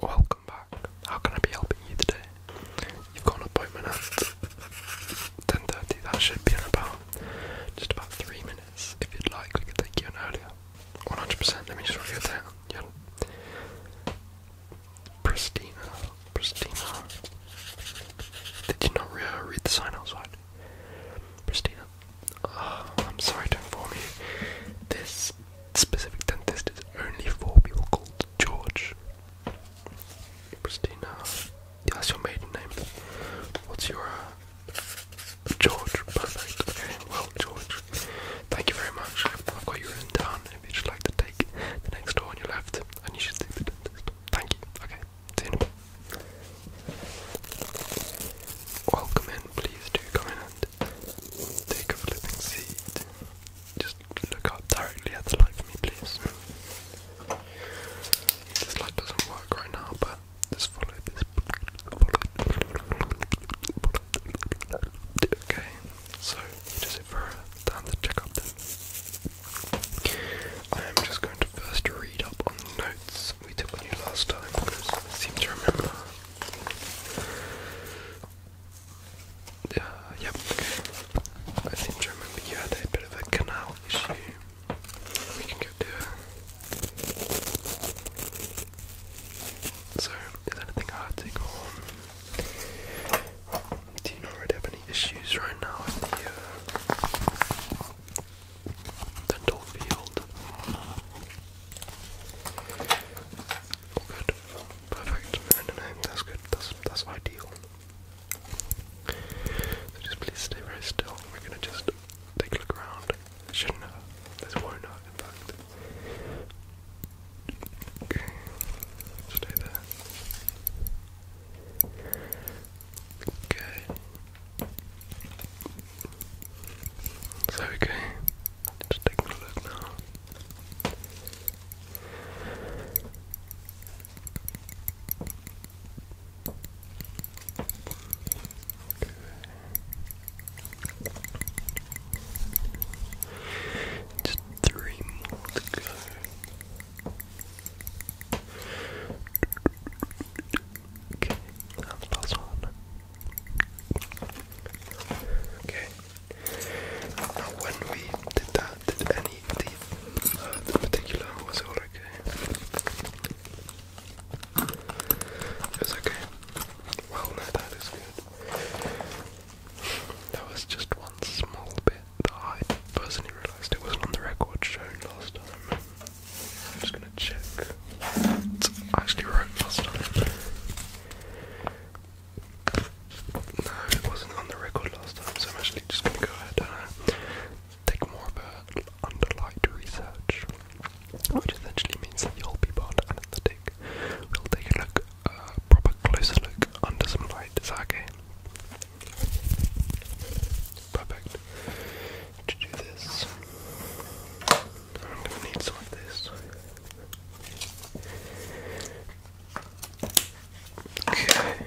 Welcome back. How can I be helping you today? You've got an appointment at 10.30, that should be in about just about 3 minutes. If you'd like, we could take you in earlier. 100%, let me just write you down. Yeah. Pristina, Pristina. Did you not uh, read the sign outside? Pristina, Oh, I'm sorry to inform you, this specific dentist is only for people called George. Christina, that's your maiden name. What's your uh, George? Perfect. Okay, well, George, thank you very much. I've got you written down. If you'd like to take the next door on your left, and you should see the dentist. Thank you. Okay, see you welcome in, please do come in and take a flipping seat. Just look up directly at the light for me, please. This light doesn't work right now, but just follow this. Okay, so just for a time to check up I am just going to first read up on the notes we took with you last time seem to remember. Uh, yep, I seem to remember you a bit of a canal issue. We can get to So, is anything hard to go on? Do you not really have any issues right now with the uh, dental good. Perfect. Um, that's good. That's, that's ideal. So just please stay very still. We're going to just take a look around. shouldn't hurt. This not in fact. Okay. Stay there. Okay. So okay, just taking a look now. Just three more to go. Okay, one. Okay. Now when we did that, did any teeth uh, Was okay? was okay. Well, no, that is good. There was just one small bit that I personally realised it wasn't on the record shown last time. I'm just gonna check what I actually wrote last time. No, it wasn't on the record last time, so I'm actually just gonna go ahead and uh, take more of a underlined research, which essentially means that you'll be part and the dig. We'll take a look, a uh, proper closer look under some light. Is Perfect. To do this, I'm gonna need some of this. Okay.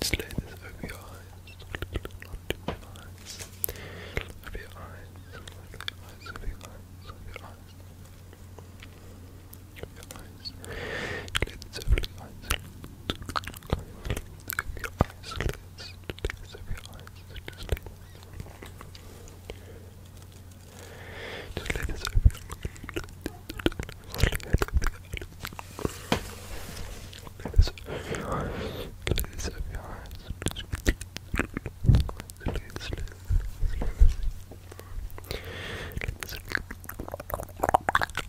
Just lay this over your eyes, over your eyes, over your eyes, over your eyes, over your eyes, over your eyes eyes, lids, lids of your eyes, just lids. Just lids of your eyes, lids of your eyes, lids of your eyes, lids of your eyes, lids, lids, lids. Lids.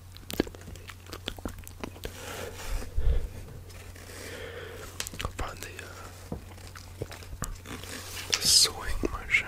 I'll find the, uh, the swing motion.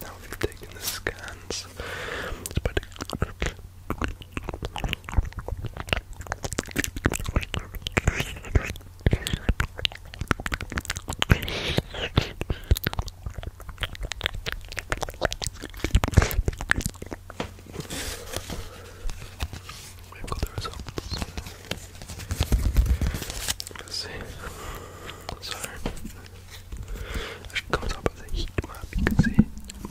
Now we've taken the scans. But We've got the results. see. So, I should up with a heat map. You can see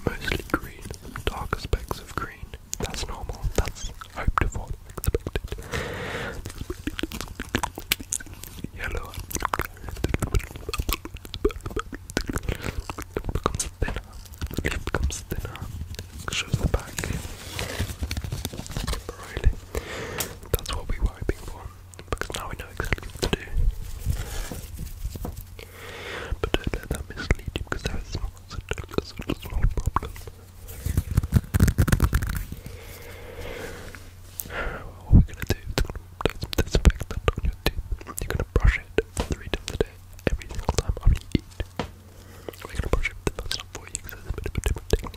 mostly green, darker specks of green. That's normal. That's hoped for, expected. Yellow becomes thinner. The leaf becomes thinner. Shows the back. Really, that's what we're hoping for because now we know exactly what to do. But don't let that mislead you because there is such, such a small problem. What we gonna do is gonna put on your tooth. You're gonna brush it three times a day, every single time after you eat. We're gonna brush it the first for you because it's a bit of a different thing.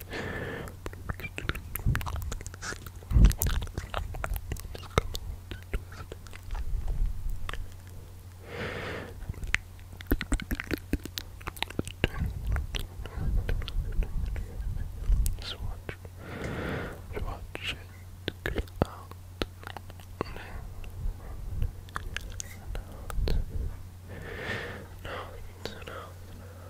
just watch. Just watch it out. And out. And out. And out. And out. And out.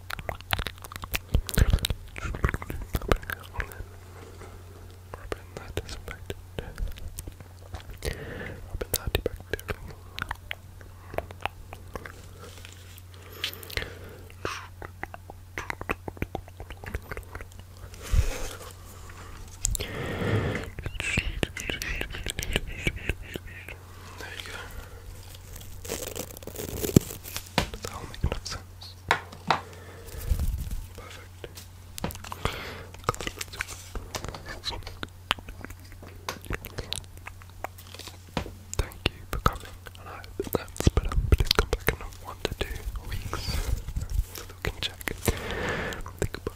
Rubbing that disinfectant. Rubbing that antibacterial. There you go. Thank you for coming, and I hope that's better. Please come back in one to two weeks so that Think about